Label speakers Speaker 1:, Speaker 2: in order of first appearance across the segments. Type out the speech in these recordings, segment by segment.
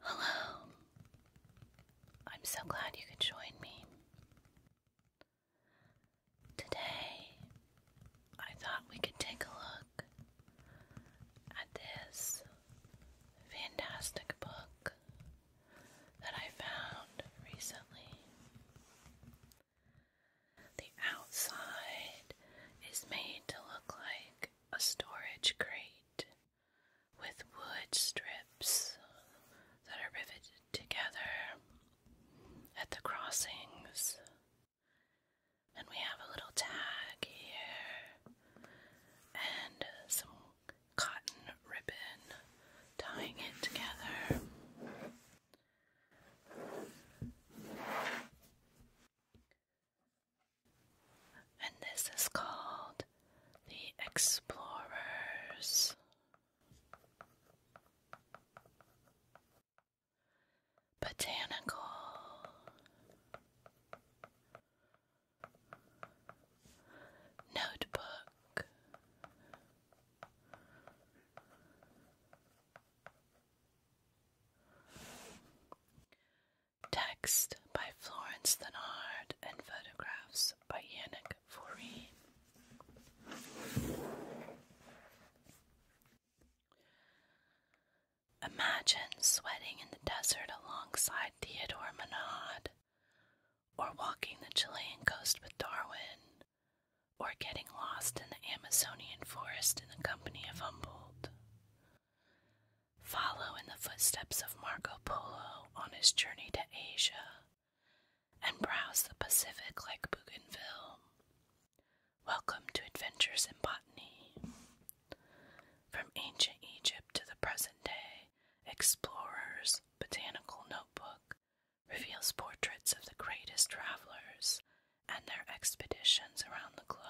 Speaker 1: Hello. I'm so glad you could join me. Today, I thought we could take a look at this fantastic book that I found recently. The outside is made to look like a storage crate with wood strips that are riveted together at the crossings. And we have a little tag here and some cotton ribbon tying it together. And this is called the Explorers. Botanical. Notebook. Text by Florence Thenard and photographs by Yannick Fourie. Imagine sweating in the desert alongside Theodore Monod, or walking the Chilean coast with Darwin, or getting lost in the Amazonian forest in the company of Humboldt. Follow in the footsteps of Marco Polo on his journey to Asia and browse the Pacific like Bougainville. Welcome to Adventures in Botany. From ancient Egypt to the present day, Explorer's Botanical Notebook reveals portraits of the greatest travelers and their expeditions around the globe.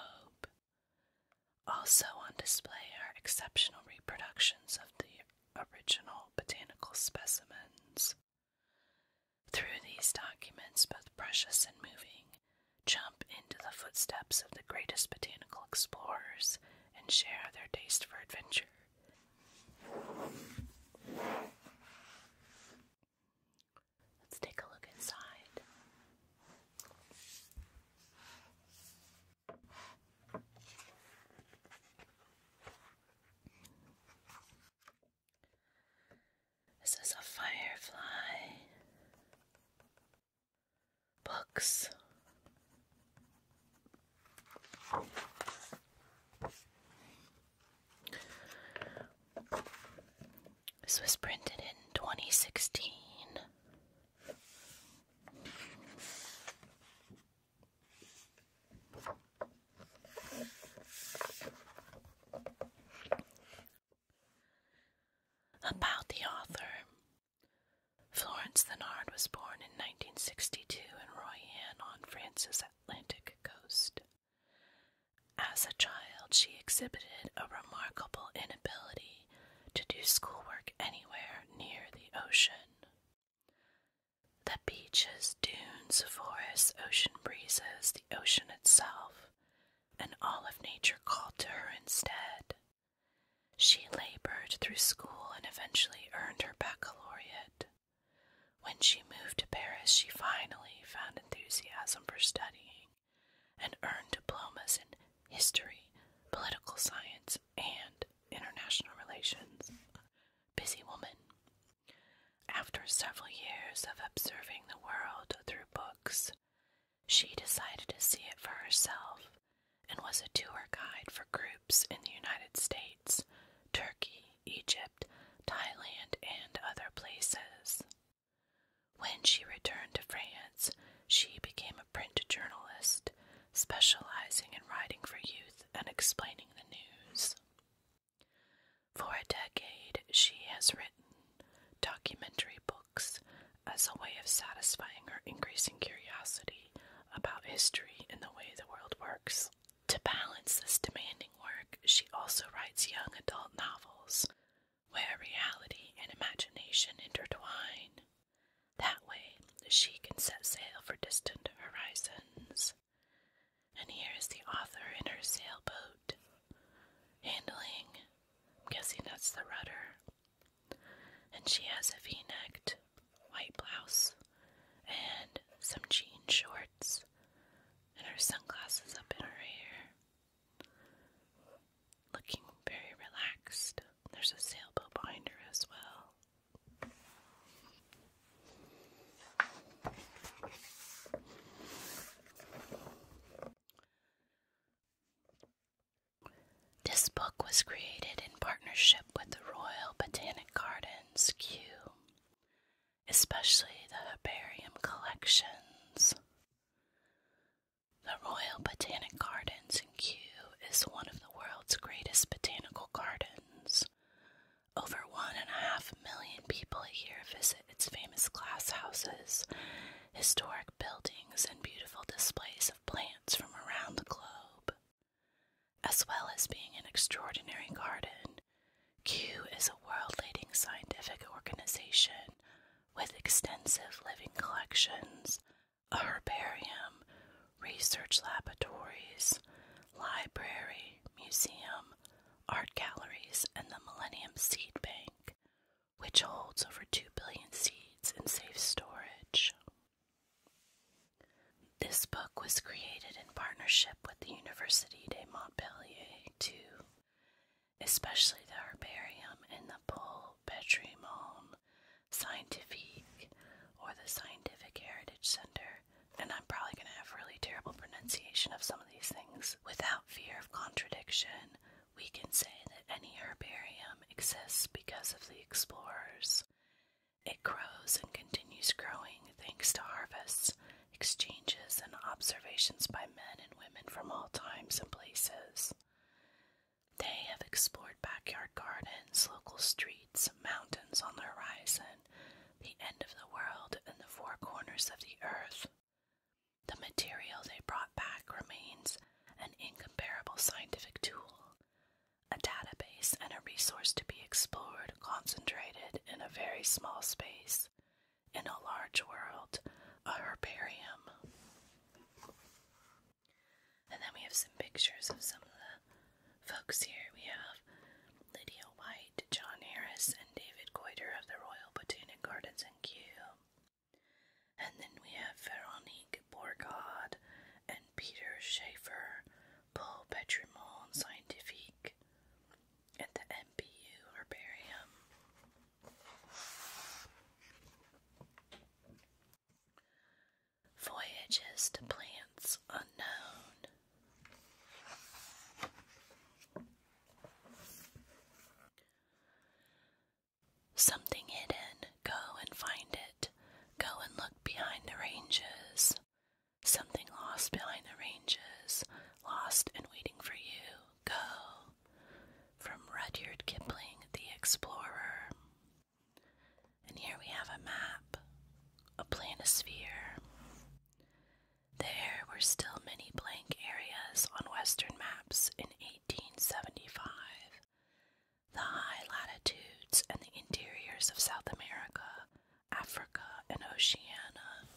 Speaker 1: Also on display are exceptional reproductions of the original botanical specimens. Through these documents, both precious and moving, jump into the footsteps of the greatest botanical explorers and share their taste for adventure. Let's take a look inside. This is a firefly. Books. This was printed in 2016. About the author Florence Thenard was born in 1962 in Royan on France's Atlantic coast. As a child, she exhibited a remarkable inability to do schoolwork anywhere near the ocean. The beaches, dunes, forests, ocean breezes, the ocean itself, and all of nature called to her instead. She labored through school and eventually earned her baccalaureate. When she moved to Paris, she finally found enthusiasm for studying and earned diplomas in history, political science, and international relations. Busy woman. After several years of observing the world through books, she decided to see it for herself and was a tour guide for groups in the United States, Turkey, Egypt, Thailand, and other places. When she returned to France, she became a print journalist, specializing in writing for youth and explaining the news. For a decade, she has written documentary books as a way of satisfying her increasing curiosity about history and the way the world works. To balance this demanding work, she also writes young adult novels where reality and imagination intertwine. That way, she can set sail for distant horizons. And here is the author in her sailboat. Handling, I'm guessing that's the rudder. And she has a v necked white blouse and some jean shorts and her sunglasses up in her hair looking very relaxed. There's a sailboat behind her as well. This book was created in partnership with the Royal Botanic Gardens, Kew, especially the herbarium collections. The Royal Botanic Gardens in Kew is one of the world's greatest botanical gardens. Over one and a half million people a year visit its famous glasshouses, historic buildings, and beautiful displays of plants from around the globe. As well as being an extraordinary garden, Kew is a world leading scientific organization with extensive living collections, a herbarium, research laboratories, library, museum, art galleries, and the Millennium Seed Bank, which holds over 2 billion seeds in safe storage. This book was created in partnership with the Université de Montpellier, too, especially the herbarium in the Pol Patrimon Scientifique or the Scientific Heritage Center. And I'm probably going to have really terrible pronunciation of some of these things. Without fear of contradiction, we can say that any herbarium exists because of the explorers. It grows and continues growing thanks to harvests, exchanges, and observations by men and women from all times and places. They have explored backyard gardens, local streets, mountains on the horizon, the end of the world, and the four corners of the earth. The material they brought back remains an incomparable scientific tool, a database, and a resource to be explored, concentrated in a very small space, in a large world, a herbarium. And then we have some pictures of some of the folks here. We have Lydia White, John Harris, and David Goiter of the Royal Botanic Gardens in Kew. And then we have Veronique Bourgaud and Peter Schaefer, Paul Petrimont Scientifique at the MPU Herbarium. Voyages to plants unknown. Something hidden, go and find it. Go and look behind the ranges. Something lost behind the ranges, lost and waiting for you go. From Rudyard Kipling, the Explorer. And here we have a map, a planisphere. There were still many blank areas on Western maps in 1875. The high latitudes and the interiors of South America, Africa, and Oceania.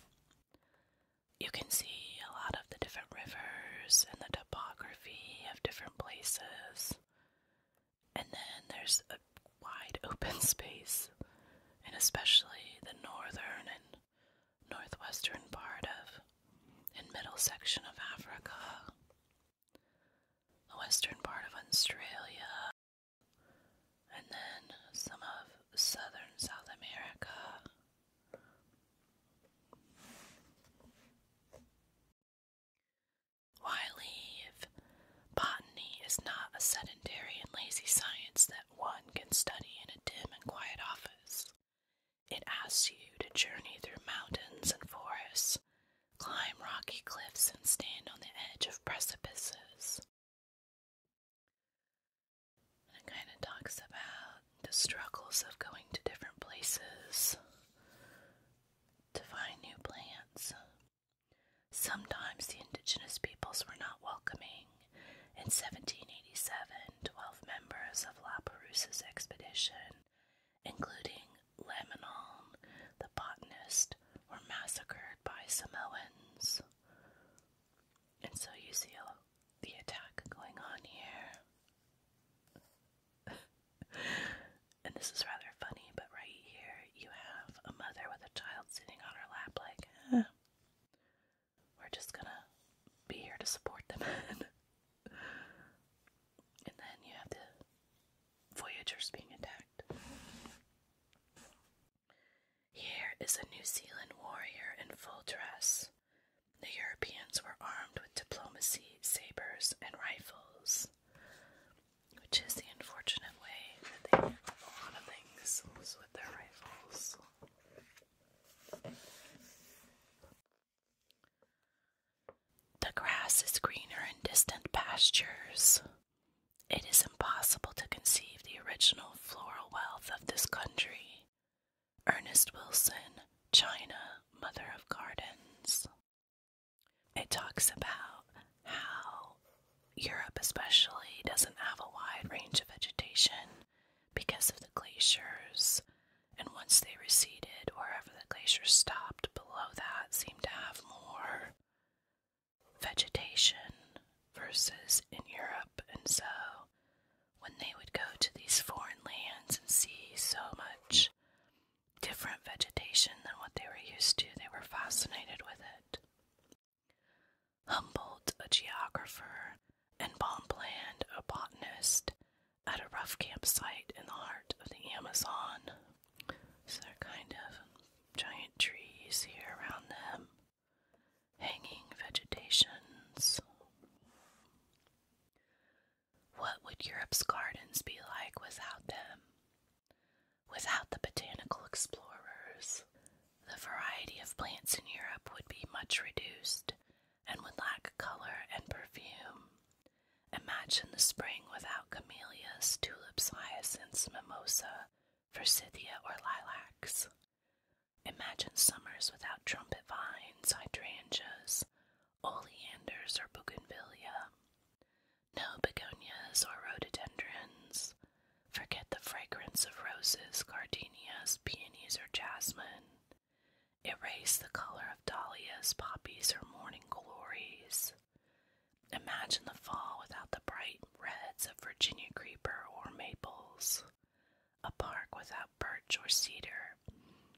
Speaker 1: You can see a lot of the different rivers and the topography of different places. And then there's a wide open space, and especially the northern and northwestern part of and middle section of Africa, the western part of Australia, and then some of southern South America, why leave? Botany is not a sedentary and lazy science that one can study in a dim and quiet office. It asks you to journey through mountains and forests, climb rocky cliffs, and stand on the edge of precipices. it kind of talks about the struggles of going to different places to find new plants. Sometimes the indigenous peoples were not welcoming. In 1787, 12 members of La Perouse's expedition, including Lamennal, the botanist, were massacred by Samoans. And so you see the attack going on here. and this is rather funny, but right here you have a mother with a child sitting on her lap, like, eh, we're just gonna be here to support them. and then you have the Voyagers being attacked. Here is a New Zealand warrior in full dress. The Europeans were armed with diplomacy, sabers, and rifles, which is the unfortunate way that they did a lot of things was with their rifles. The grass is greener in distant pastures. It is impossible to conceive the original floral wealth of this country. Ernest Wilson, China, Mother of Gardens. It talks about how Europe, especially, doesn't have a wide range of vegetation because of the glaciers, and once they receded, wherever the glaciers stopped below that seemed to have more vegetation versus in Europe, and so when they would go to these foreign lands and see so much different vegetation than what they were used to, they were fascinated with it. Humboldt, a geographer, and Bonpland, a botanist, at a rough campsite in the heart of the Amazon. So they're kind of giant trees here around them, hanging vegetations. What would Europe's gardens be like without them? Without the botanical explorers, the variety of plants in Europe would be much reduced and would lack color and perfume. Imagine the spring without camellias, tulips, hyacinths, mimosa, forsythia, or lilacs. Imagine summers without trumpet vines, hydrangeas, oleanders or bougainvillea, no begonias or rhododendrons. Forget the fragrance of roses, gardenias, peonies, or jasmine. Erase the color of dahlias, poppies, or morning glories. Imagine the fall without the bright reds of Virginia creeper or maples a park without birch or cedar,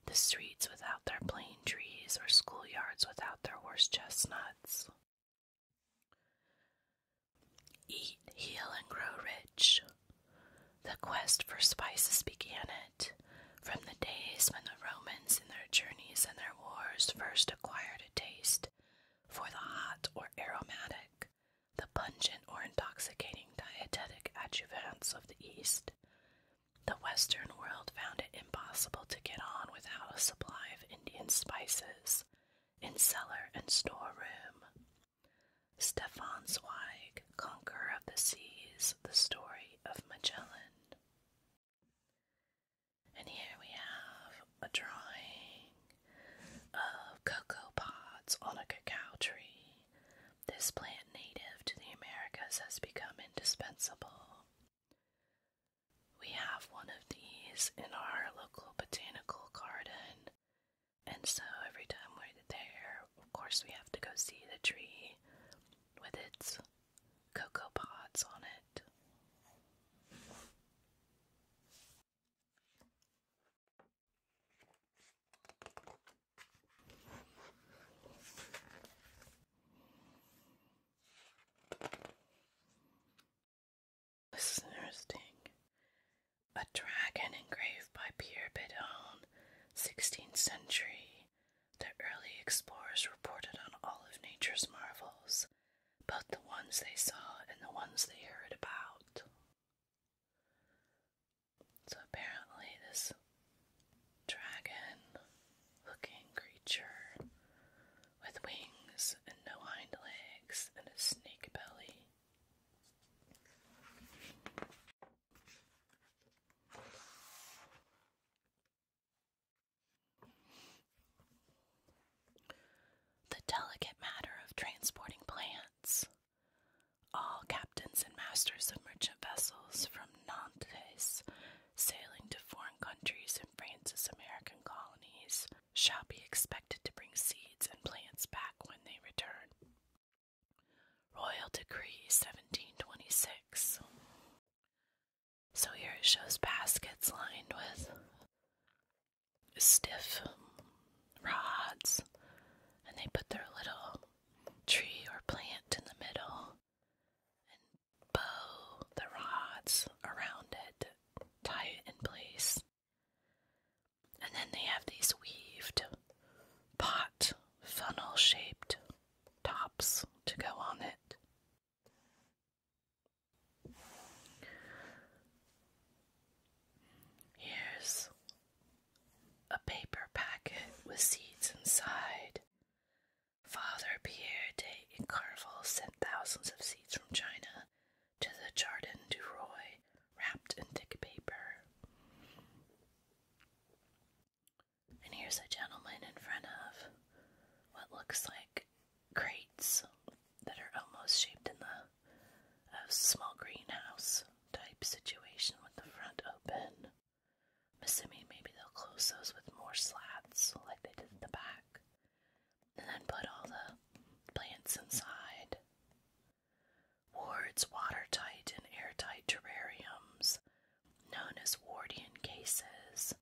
Speaker 1: the streets without their plane trees, or schoolyards without their horse chestnuts. Eat, heal, and grow rich. The quest for spices began it, from the days when the Romans in their journeys and their wars first acquired a taste for the hot or aromatic, the pungent or intoxicating dietetic adjuvants of the East. The Western world found it impossible to get on without a supply of Indian spices in cellar and storeroom. Stefan Zweig, Conqueror of the Seas, The Story of Magellan. And here we have a drawing of cocoa pods on a cacao tree this plant native to the Americas has become indispensable. We have one of these in our local botanical garden, and so every time we're there, of course, we have to go see the tree with its cocoa pods on it. This is interesting. A dragon engraved by Pierre Bidon, 16th century. The early explorers reported on all of nature's marvels, both the ones they saw and the ones they heard about. So apparently, this dragon looking creature with wings and no hind legs and a snake belly. The delicate matter of transporting plants. All captains and masters of merchant vessels from Nantes sailing to foreign countries in France's American colonies shall be expected to bring seeds and plants back when they return. Royal Decree 1726. So here it shows baskets lined with stiff rods, and they put their little tree or plant in the middle and bow the rods around it, tie it in place. And then they have these weaved pot funnel shaped tops to go on it. Here's a paper packet with seeds inside. Father Pierre de Incarval sent thousands of seeds from China to the Jardin du Roy, wrapped in thick paper. And here's a gentleman in front of what looks like crates that are almost shaped in the a small greenhouse type situation with the front open. I'm assuming maybe they'll close those with more slats like they did in the back. And then put all the plants inside. Ward's watertight and airtight terrariums, known as Wardian cases,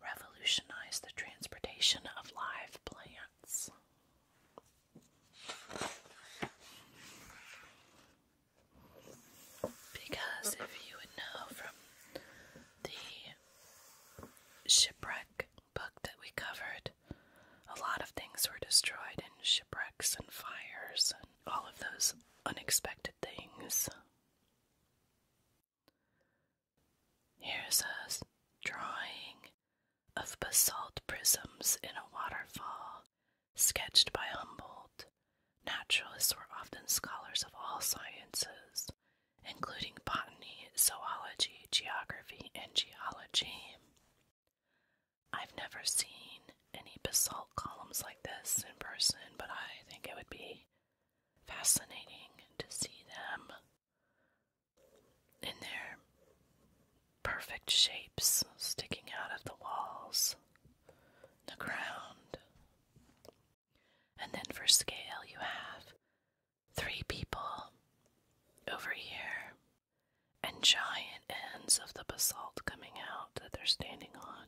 Speaker 1: revolutionized the transportation of live plants. Because if you would know from the shipwreck book that we covered, a lot of things were destroyed in shipwrecks and fires and all of those unexpected things. Here's a drawing of basalt prisms in a waterfall Sketched by Humboldt, naturalists were often scholars of all sciences, including botany, zoology, geography, and geology. I've never seen any basalt columns like this in person, but I think it would be fascinating to see them in their perfect shapes sticking out of the walls the ground. And then for scale, you have three people over here and giant ends of the basalt coming out that they're standing on.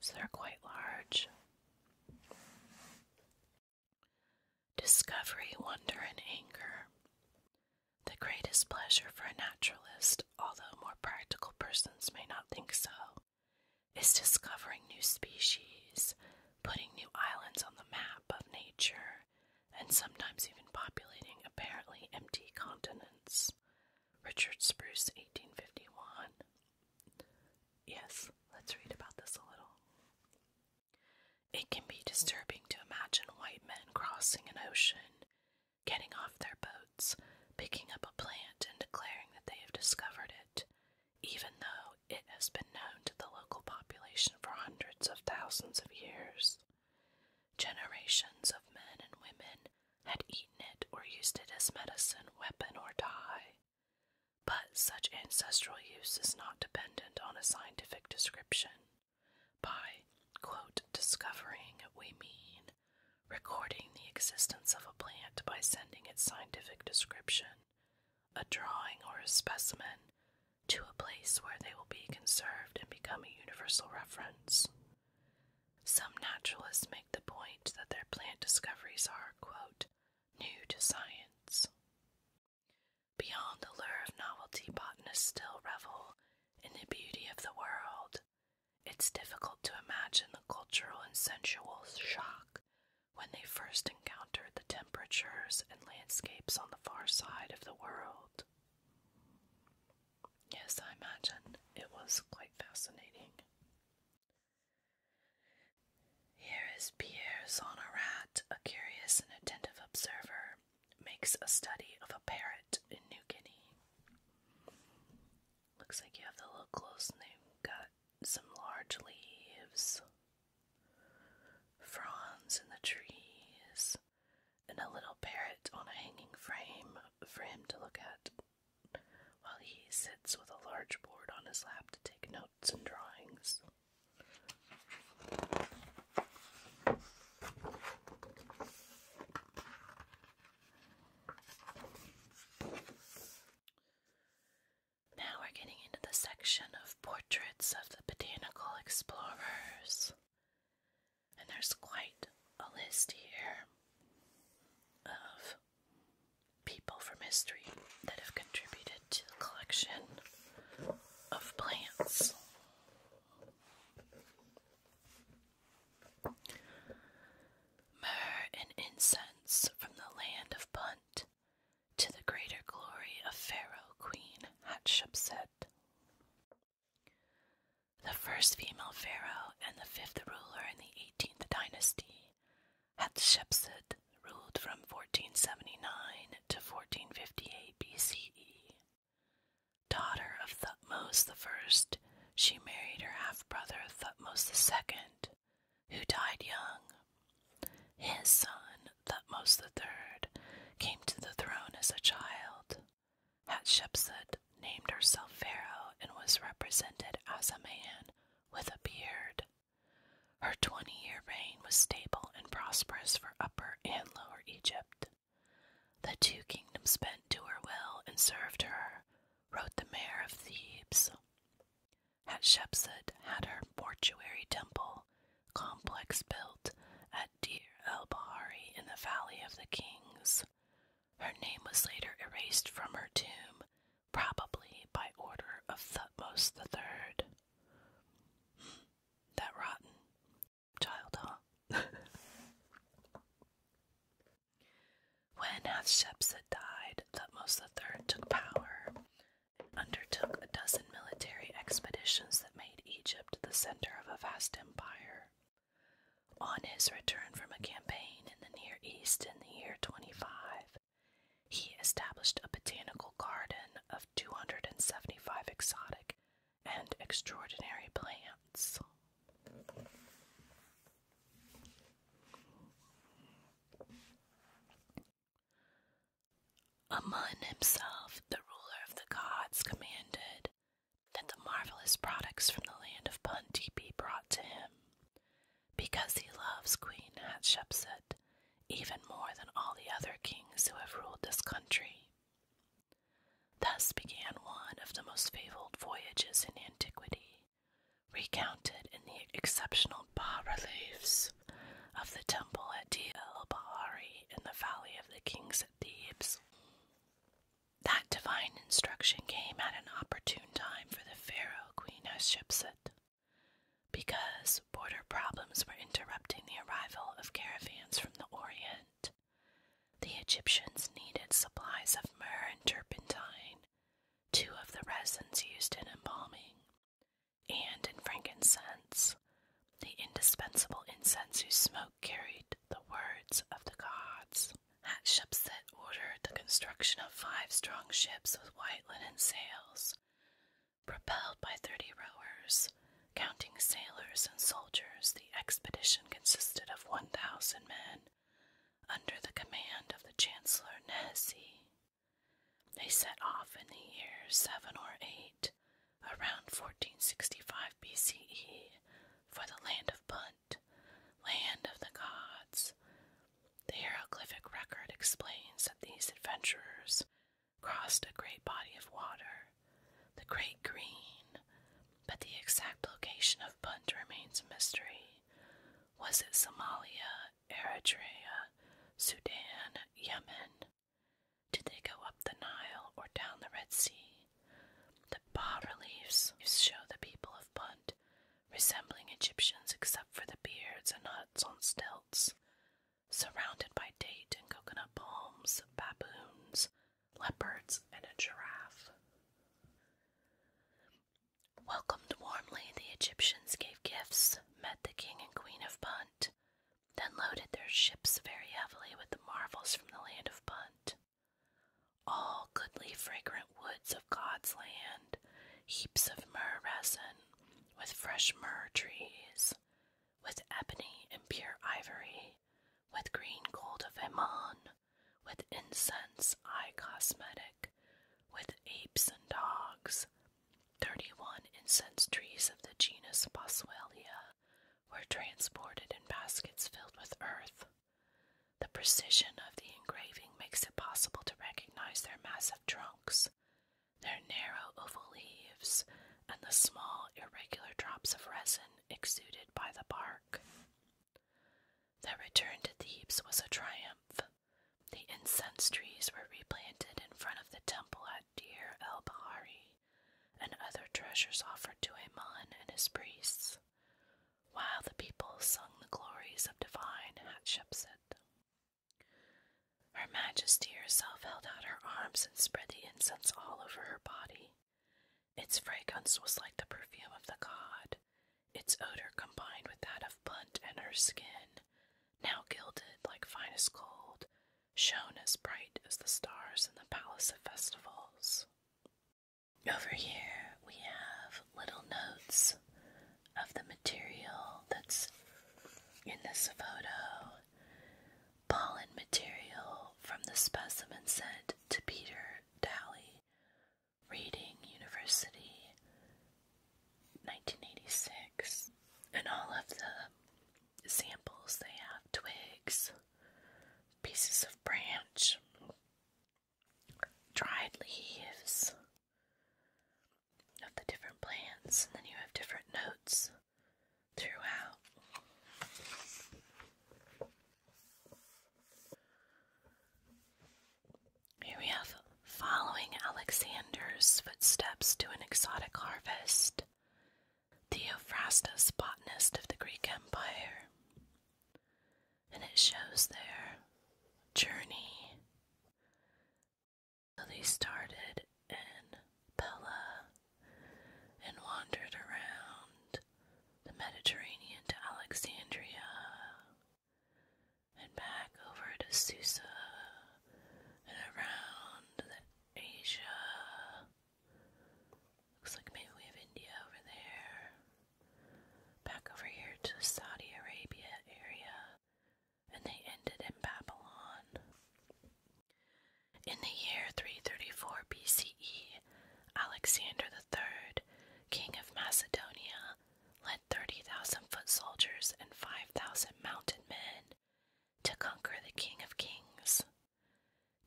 Speaker 1: So they're quite large. Discovery, wonder, and anger. The greatest pleasure for a naturalist although more practical persons may not think so, is discovering new species, putting new islands on the map of nature, and sometimes even populating apparently empty continents. Richard Spruce, 1851. Yes, let's read about this a little. It can be disturbing to imagine white men crossing an ocean getting off their boats, picking up a plant, and declaring that they have discovered it, even though it has been known to the local population for hundreds of thousands of years. Generations of men and women had eaten it or used it as medicine, weapon, or dye. But such ancestral use is not dependent on a scientific description. By, discovering, we mean recording the existence of a plant by sending its scientific description, a drawing, or a specimen to a place where they will be conserved and become a universal reference. Some naturalists make the point that their plant discoveries are, new to science. Beyond the lure of novelty, botanists still revel in the beauty of the world it's difficult to imagine the cultural and sensual shock when they first encountered the temperatures and landscapes on the far side of the world. Yes, I imagine it was quite fascinating. Here is Pierre Zonorat, a curious and attentive observer, makes a study of a parrot in New Guinea. Looks like you have the little close and they've got some large leaves, fronds in the trees, and a little parrot on a hanging frame for him to look at while he sits with a large board on his lap to take notes and drawings. Now we're getting into the section of portraits of the botanical explorers. And there's quite a list here of people from history that have contributed to the collection of plants. Myrrh and incense from the land of Punt to the greater glory of Pharaoh Queen Hatshepsut. The first female pharaoh and the fifth ruler in the 18th dynasty, Hatshepsut ruled from 1479 to 1458 BCE. Daughter of Thutmose I, she married her half brother Thutmose II, who died young. His son, Thutmose III, came to the throne as a child. Hatshepsut named herself Pharaoh and was represented as a man with a beard. Her 20 year reign was stable and prosperous for Upper and Lower Egypt. The two kingdoms bent to her will and served her, wrote the mayor of Thebes. At Hatshepsut had her mortuary temple complex built at Deir el Bahari in the Valley of the Kings. Her name was later erased from her tomb, probably by order of Thutmose III. that rotten child, huh? When Hatshepsut died, Thutmose III took power and undertook a dozen military expeditions that made Egypt the center of a vast empire. On his return from a campaign in the Near East in the year 25, he established a botanical garden of 275 exotic and extraordinary plants. Amun himself, the ruler of the gods, commanded that the marvelous products from the land of Punt be brought to him, because he loves Queen Hatshepsut even more than all the other kings who have ruled this country. Thus began one of the most fabled voyages in antiquity, recounted in the exceptional bas reliefs of the temple at Deir el Bahari in the Valley of the Kings at Thebes. That divine instruction came at an opportune time for the pharaoh Queen Hatshepsut, because border problems were interrupting the arrival of caravans from the Orient. The Egyptians needed supplies of myrrh and turpentine, two of the resins used in embalming, and in frankincense, the indispensable incense whose smoke carried the words of the gods. Hatshepsut ordered the construction of five strong ships with white linen sails, propelled by thirty rowers. Counting sailors and soldiers, the expedition consisted of 1,000 men under the command of the Chancellor Nehisi. They set off in the year 7 or 8, around 1465 BCE, for the land of Punt, land of the gods. The hieroglyphic record explains that these adventurers crossed a great body of water, the Great Green, but the exact location of Punt remains a mystery. Was it Somalia, Eritrea, Sudan, Yemen? Did they go up the Nile or down the Red Sea? The bas reliefs show the people of Punt resembling Egyptians except for the beards and huts on stilts, surrounded by date and coconut palms, baboons, leopards, and a giraffe. Welcomed warmly, the Egyptians gave gifts, met the king and queen of Punt, then loaded their ships very heavily with the marvels from the land of Punt. All goodly, fragrant woods of God's land, heaps of myrrh resin, with fresh myrrh trees, with ebony and pure ivory, with green gold of Ammon, with incense eye cosmetic, with apes and dogs. 31 incense trees of the genus Boswellia were transported in baskets filled with earth. The precision of the engraving makes it possible to recognize their massive trunks, their narrow oval leaves, and the small irregular drops of resin exuded by the bark. The return to Thebes was a triumph. The incense trees were replanted in front of the temple at Deir el Bahari, and other treasures offered to Amun and his priests, while the people sung the glories of divine Hatshepsut. Her Majesty herself held out her arms and spread the incense all over her body. Its fragrance was like the perfume of the god, its odor combined with that of Blunt and her skin, now gilded like finest gold, shone as bright as the stars in the palace of festivals. Over here we have little notes of the material that's in this photo. Pollen material from the specimen sent to Peter Daly Reading University, 1986, and all of the samples they have twigs, pieces of branch, dried leaves of the different plants, and then you have different notes throughout. Here we have following Alexander's footsteps to an exotic harvest. Theophrastus, botanist of the Greek Empire. And it shows their journey. So they started in Pella and wandered around the Mediterranean to Alexandria, and back over to Susa, and around Asia. Looks like maybe we have India over there. Back over here to the Saudi Arabia area, and they ended in Babylon. In the year 334 BCE, Alexander III, king of Macedonia, led 30,000 foot soldiers and 5,000 mounted men to conquer the king of kings,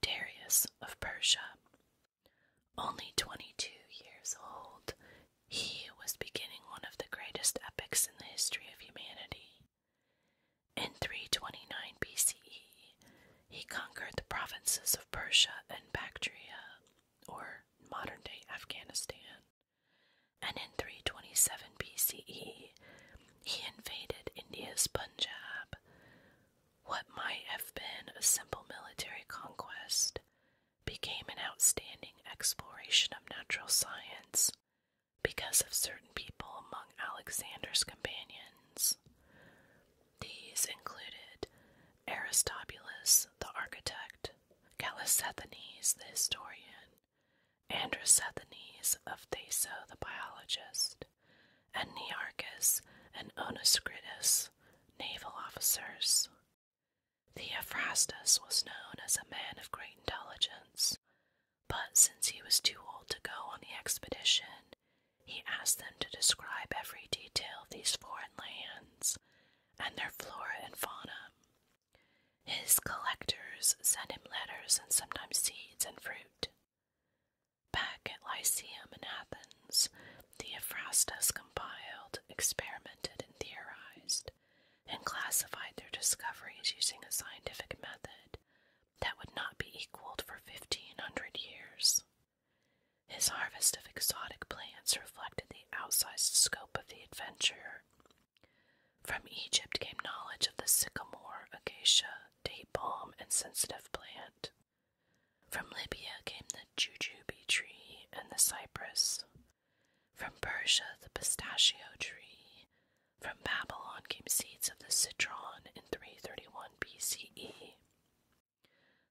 Speaker 1: Darius of Persia. Only 22 years old, he was beginning one of the greatest epics in the history of humanity. In 329 BCE, he conquered the provinces of Persia and Bactria or modern day Afghanistan. And in 327 BCE, he invaded India's Punjab. What might have been a simple military conquest became an outstanding exploration of natural science because of certain people among Alexander's companions. These included Aristobulus, the architect, Callisthenes, the historian, Androsthenes of Thesso, the biologist, and Nearchus and Onescritus, naval officers. Theophrastus was known as a man of great intelligence, but since he was too old to go on the expedition, he asked them to describe every detail of these foreign lands and their flora and fauna. His collectors sent him letters and sometimes seeds and fruit. Back at Lyceum in Athens, Theophrastus compiled, experimented, and theorized, and classified their discoveries using a scientific method that would not be equaled for 1500 years. His harvest of exotic plants reflected the outsized scope of the adventure. From Egypt came knowledge of the sycamore, acacia, date palm, and sensitive plant. From Libya came the jujube tree and the cypress. From Persia, the pistachio tree. From Babylon came seeds of the citron in 331 BCE.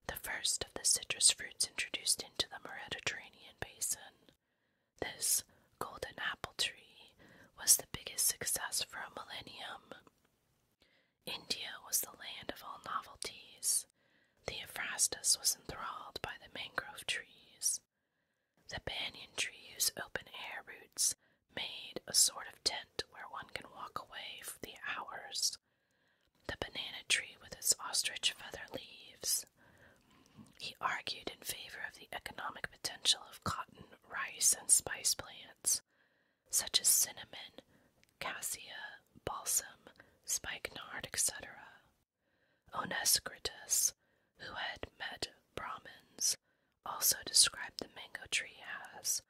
Speaker 1: The first of the citrus fruits introduced into the Mediterranean basin, this golden apple tree, was the biggest success for a millennium. India was the land of all novelties. The Ephrastus was enthralled by the mangrove trees. The banyan tree, whose open air roots made a sort of tent where one can walk away for the hours the banana tree with its ostrich feather leaves. He argued in favor of the economic potential of cotton, rice, and spice plants, such as cinnamon, cassia, balsam, spikenard, etc. Onescritus, who had met Brahmins, also described the mango tree as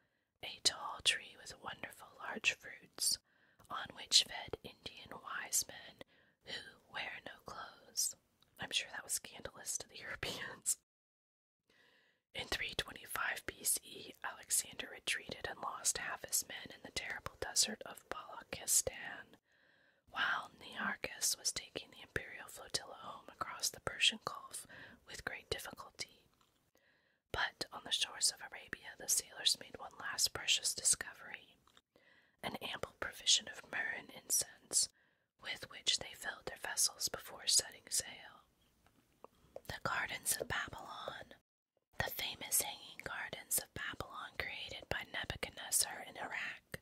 Speaker 1: a tall tree with wonderful large fruits, on which fed Indian wise men who wear no clothes. I'm sure that was scandalous to the Europeans. In 325 B.C., Alexander retreated and lost half his men in the terrible desert of Balakistan, while Nearchus was taking the imperial flotilla home across the Persian Gulf with great difficulty. But on the shores of Arabia, the sailors made one last precious discovery an ample provision of myrrh and incense, with which they filled their vessels before setting sail. The Gardens of Babylon. The famous Hanging Gardens of Babylon, created by Nebuchadnezzar in Iraq,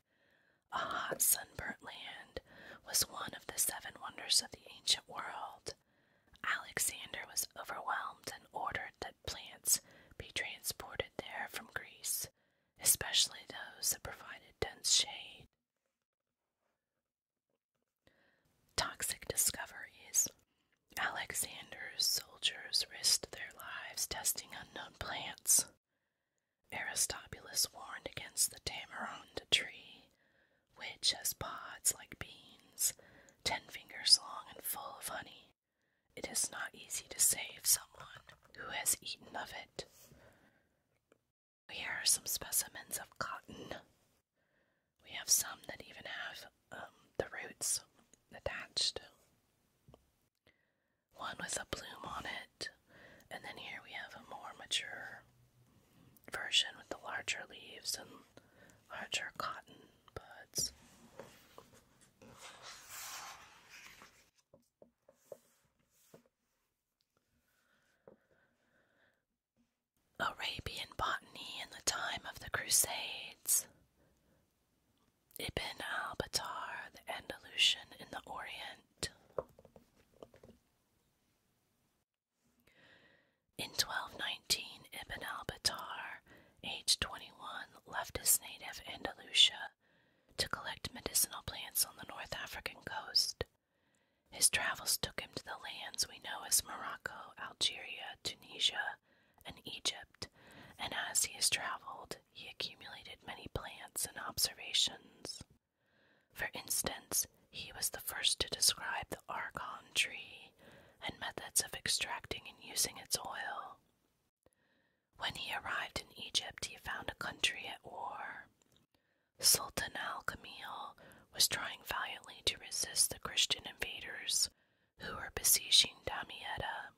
Speaker 1: a hot, sunburnt land, was one of the seven wonders of the ancient world. Alexander was overwhelmed and ordered that plants be transported there from Greece, especially those that provided dense shade. Toxic discoveries. Alexander's soldiers risked their lives testing unknown plants. Aristobulus warned against the tamarind tree, which has pods like beans ten fingers long and full of honey. It is not easy to save someone who has eaten of it. Here are some specimens of cotton. We have some that even have um, the roots attached. One with a bloom on it, and then here we have a more mature version with the larger leaves and larger cotton. Arabian botany in the time of the Crusades. Ibn al-Battar, the Andalusian in the Orient. In 1219, Ibn al Batar, aged 21, left his native Andalusia to collect medicinal plants on the North African coast. His travels took him to the lands we know as Morocco, Algeria, Tunisia, and Egypt, and as he has traveled, he accumulated many plants and observations. For instance, he was the first to describe the archon tree and methods of extracting and using its oil. When he arrived in Egypt, he found a country at war. Sultan al Kamil was trying valiantly to resist the Christian invaders who were besieging Damietta.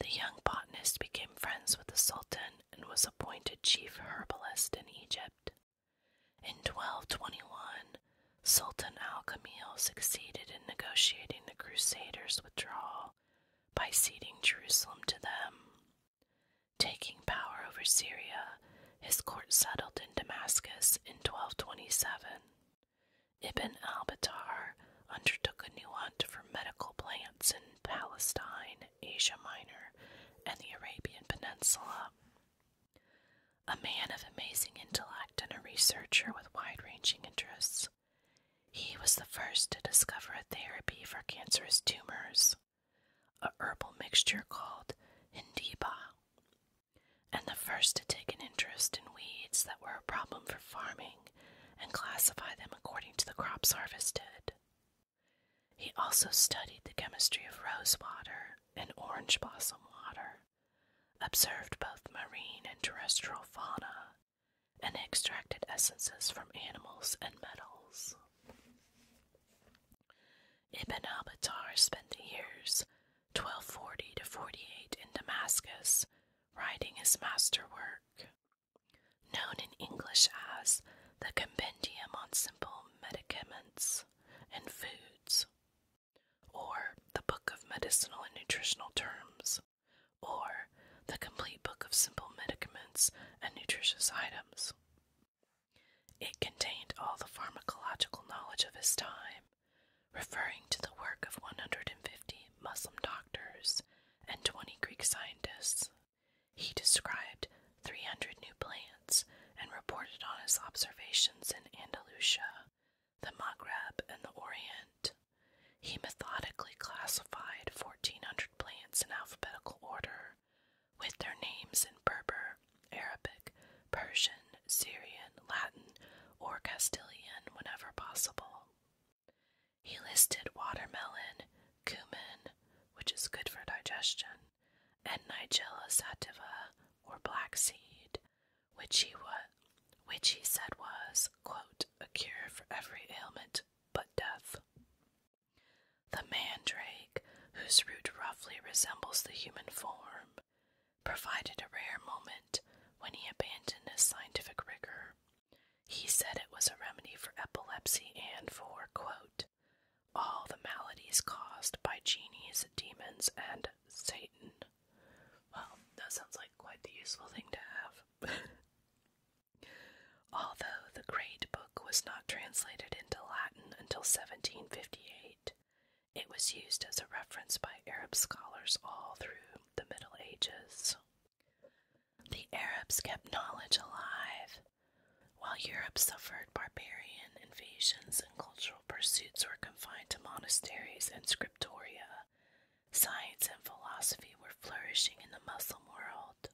Speaker 1: The young botanist became friends with the Sultan and was appointed chief herbalist in Egypt. In 1221, Sultan Al Kamil succeeded in negotiating the Crusaders' withdrawal by ceding Jerusalem to them. Taking power over Syria, his court settled in Damascus in 1227. Ibn al Battar undertook a new hunt for medical plants in Palestine, Asia Minor, and the Arabian Peninsula. A man of amazing intellect and a researcher with wide ranging interests, he was the first to discover a therapy for cancerous tumors, a herbal mixture called Hindiba, and the first to take an interest in weeds that were a problem for farming and classify them according to the crops harvested. He also studied the chemistry of rosewater and orange blossom water observed both marine and terrestrial fauna, and extracted essences from animals and metals. Ibn al-Battar spent the years 1240 to 48 in Damascus writing his masterwork, known in English as the Compendium on Simple Medicaments and Foods or the Book of Medicinal and Nutritional Terms, or the Complete Book of Simple Medicaments and Nutritious Items. It contained all the pharmacological knowledge of his time, referring to the work of 150 Muslim doctors and 20 Greek scientists. He described 300 new plants and reported on his observations in Andalusia, the Maghreb, and the Orient. He methodically classified 1,400 plants in alphabetical order, with their names in Berber, Arabic, Persian, Syrian, Latin, or Castilian whenever possible. He listed watermelon, cumin, which is good for digestion, and Nigella sativa, or black seed, which he, wa- which he said was, quote, a cure for every ailment but death. The mandrake, whose root roughly resembles the human form, provided a rare moment when he abandoned his scientific rigor. He said it was a remedy for epilepsy and for, quote, all the maladies caused by genies, demons, and Satan. Well, that sounds like quite the useful thing to have. Although the Great Book was not translated into Latin until 1758, it was used as a reference by Arab scholars all through the Middle Ages. The Arabs kept knowledge alive, while Europe suffered barbarian invasions and cultural pursuits were confined to monasteries and scriptoria. Science and philosophy were flourishing in the Muslim world.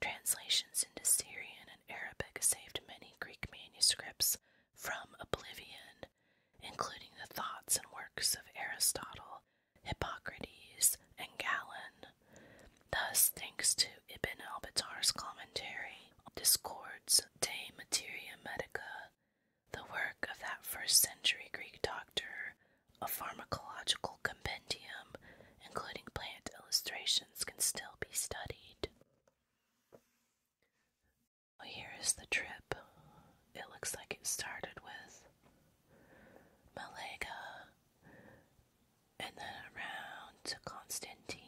Speaker 1: Translations into Syrian and Arabic saved many Greek manuscripts from oblivion, including the thoughts and works of Aristotle, Hippocrates, and Galen. Thus, thanks to Ibn al-Battar's commentary, Discords de Materia Medica, the work of that first century Greek doctor, a pharmacological compendium, including plant illustrations, can still be studied. Here is the trip. It looks like it started with Malaga and then around to Constantine,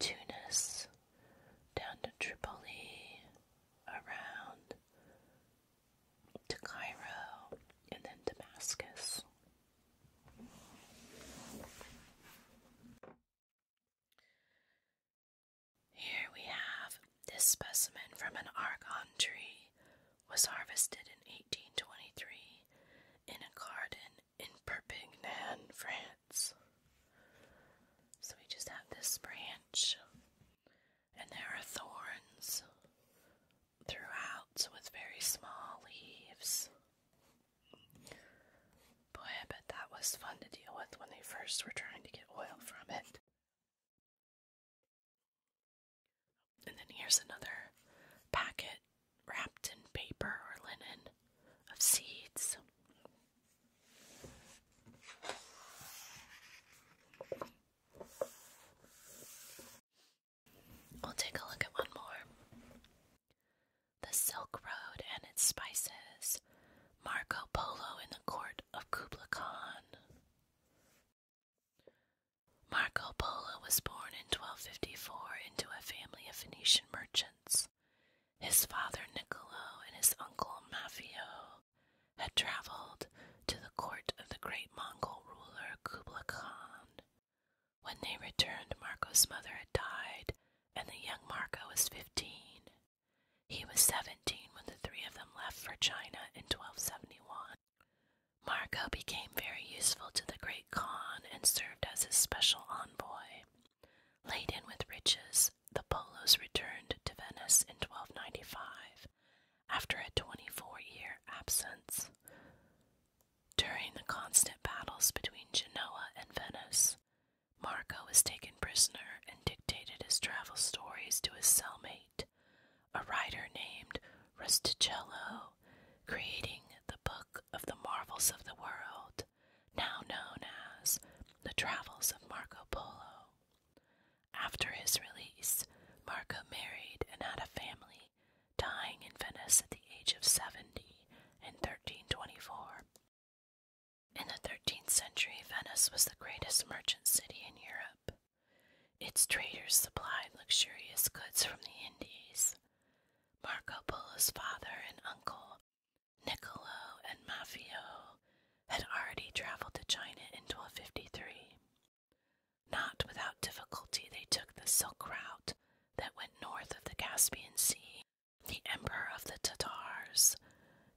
Speaker 1: Tunis, down to Tripoli, around to Cairo, and then Damascus. Here we have this specimen from an argon tree was harvested in 1823 in a garden in Perpignan, France. So we just have this branch, and there are thorns throughout with very small leaves. Boy, I bet that was fun to deal with when they first were trying to get oil from it. And then here's another packet wrapped in paper or linen of seeds. We'll take a look at one more. The Silk Road and its spices. Marco Polo in the court of Kubla Khan. Marco Polo was born in 1254 into a family of Venetian merchants. His father Nicolo and his uncle Maffeo had traveled to the court of the great Mongol ruler Kublai Khan. When they returned, Marco's mother had died, and the young Marco was fifteen. He was seventeen when the three of them left for China in 1271. Marco became very useful to the great Khan and served as his special envoy. Laden with riches, the Polos returned to Venice in 1295 after a 24 year absence. During the constant battles between Genoa and Venice, Marco was taken prisoner and dictated his travel stories to his cellmate, a writer named Rusticello, creating the Book of the Marvels of the World now known as The Travels of Marco Polo. After his release, Marco married and had a family, dying in Venice at the age of 70 in 1324. In the 13th century, Venice was the greatest merchant city in Europe. Its traders supplied luxurious goods from the Indies. Marco Polo's father and uncle Niccolo and Maffeo had already traveled to China in 1253. Not without difficulty, they took the silk route that went north of the Caspian Sea. The emperor of the Tatars,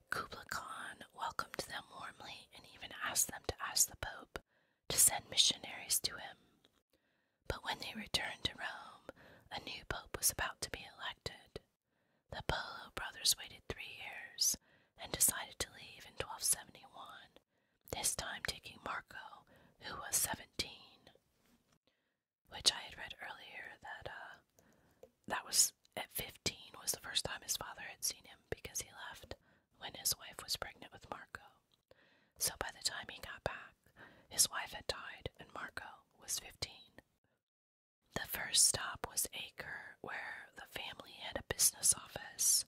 Speaker 1: Kublai Khan, welcomed them warmly and even asked them to ask the Pope to send missionaries to him. But when they returned to Rome, a new pope was about to be elected. The Polo brothers waited three years and decided to leave in 1271, this time taking Marco, who was 17. Which I had read earlier that uh, that was at 15 was the first time his father had seen him because he left when his wife was pregnant with Marco. So by the time he got back, his wife had died and Marco was 15. The first stop was Acre, where the family had a business office.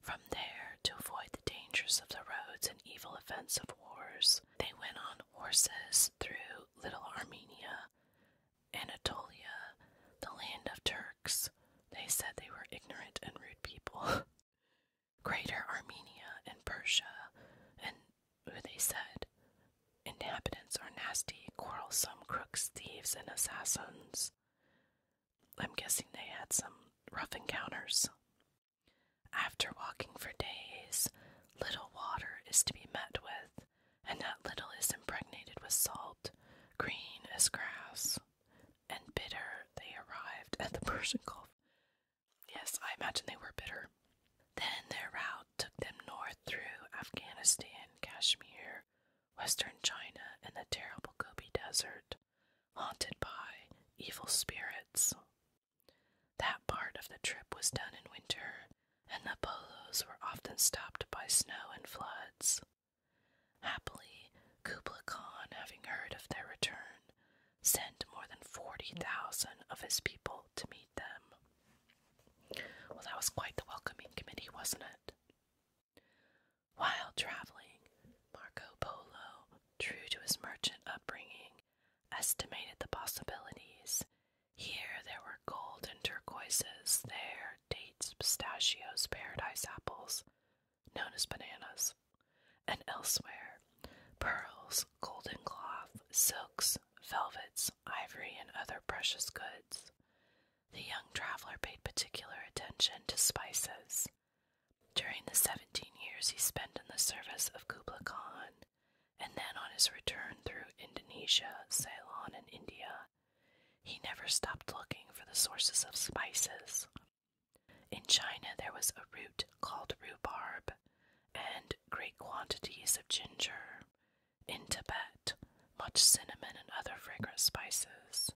Speaker 1: From there, to avoid the dangers of the roads and evil events of wars, they went on horses through Little Armenia, Anatolia, the land of Turks. They said they were ignorant and rude people. Greater Armenia and Persia, and who they said inhabitants are nasty, quarrelsome crooks, thieves, and assassins. I'm guessing they had some rough encounters. After walking for days, little water is to be met with, and that little is impregnated with salt, green as grass, and bitter. They arrived at the Persian Gulf. Yes, I imagine they were bitter. Then their route took them north through Afghanistan, Kashmir, western China, and the terrible Gobi Desert, haunted by evil spirits. That part of the trip was done in winter, and the polos were often stopped by snow and floods. Happily, Kubla Khan, having heard of their return, sent more than 40,000 of his people to meet well, that was quite the welcoming committee, wasn't it? While traveling, Marco Polo, true to his merchant upbringing, estimated the possibilities. Here there were gold and turquoises, there dates, pistachios, paradise apples, known as bananas, and elsewhere pearls, golden cloth, silks, velvets, ivory, and other precious goods. The young traveler paid particular attention to spices. During the seventeen years he spent in the service of Kubla Khan, and then on his return through Indonesia, Ceylon, and India, he never stopped looking for the sources of spices. In China, there was a root called rhubarb and great quantities of ginger, in Tibet, much cinnamon and other fragrant spices.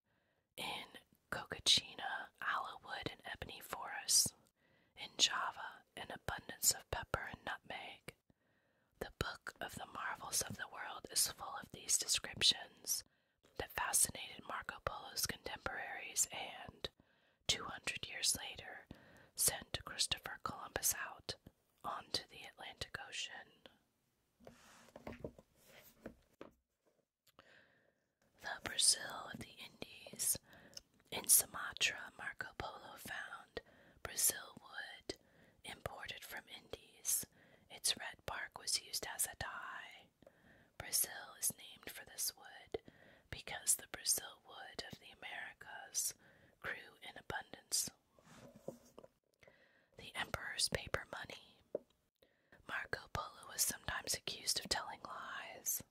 Speaker 1: In Cocachina, aloe wood and ebony forests. In Java, an abundance of pepper and nutmeg. The book of the marvels of the world is full of these descriptions that fascinated Marco Polo's contemporaries and, 200 years later, sent Christopher Columbus out onto the Atlantic Ocean. The Brazil of the Indies. In Sumatra, Marco Polo found Brazil wood imported from Indies. Its red bark was used as a dye. Brazil is named for this wood because the Brazil wood of the Americas grew in abundance the Emperor's paper money. Marco Polo was sometimes accused of telling lies.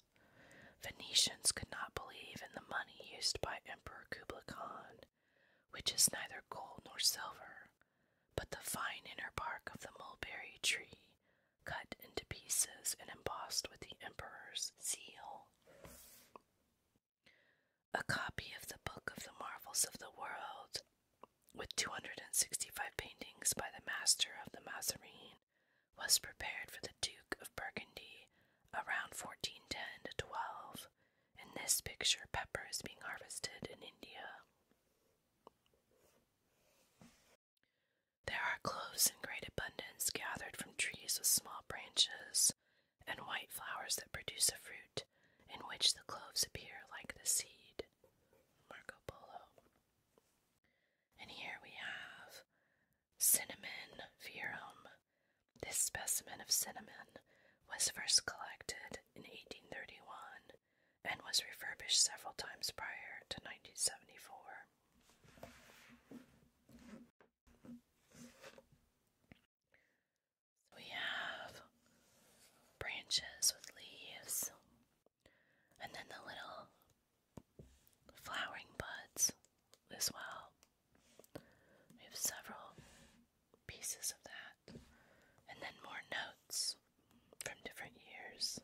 Speaker 1: Venetians could not believe in the money used by Emperor Kublai Khan, which is neither gold nor silver, but the fine inner bark of the mulberry tree, cut into pieces and embossed with the Emperor's seal. A copy of the Book of the Marvels of the World, with 265 paintings by the master of the Mazarine, was prepared for the Duke of Burgundy around 1410 to 12. In this picture, pepper is being harvested in India. There are cloves in great abundance gathered from trees with small branches, and white flowers that produce a fruit in which the cloves appear like the seed. Marco Polo. And here we have cinnamon verum. This specimen of cinnamon was first collected in 1831 and was refurbished several times prior to 1974 we have branches with leaves, and then the little flowering buds as well. We have several pieces of that, and then more notes from different years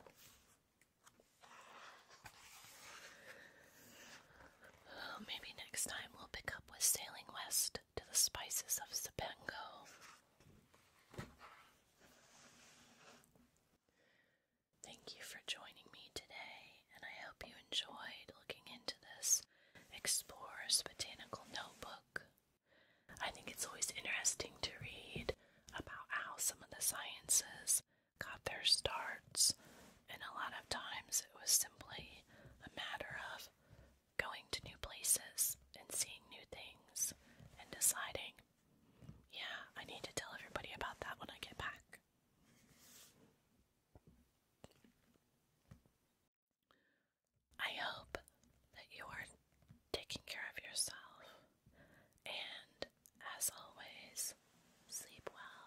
Speaker 1: maybe next time we'll pick up with sailing west to the spices of Sepengo. Thank you for joining me today, and I hope you enjoyed looking into this Explorer's Botanical Notebook. I think it's always interesting to read about how some of the sciences got their starts, and a lot of times it was simply a matter of going to new places and seeing new things and deciding, yeah, I need to tell everybody about that when I get back. I hope that you are taking care of yourself and, as always, sleep well.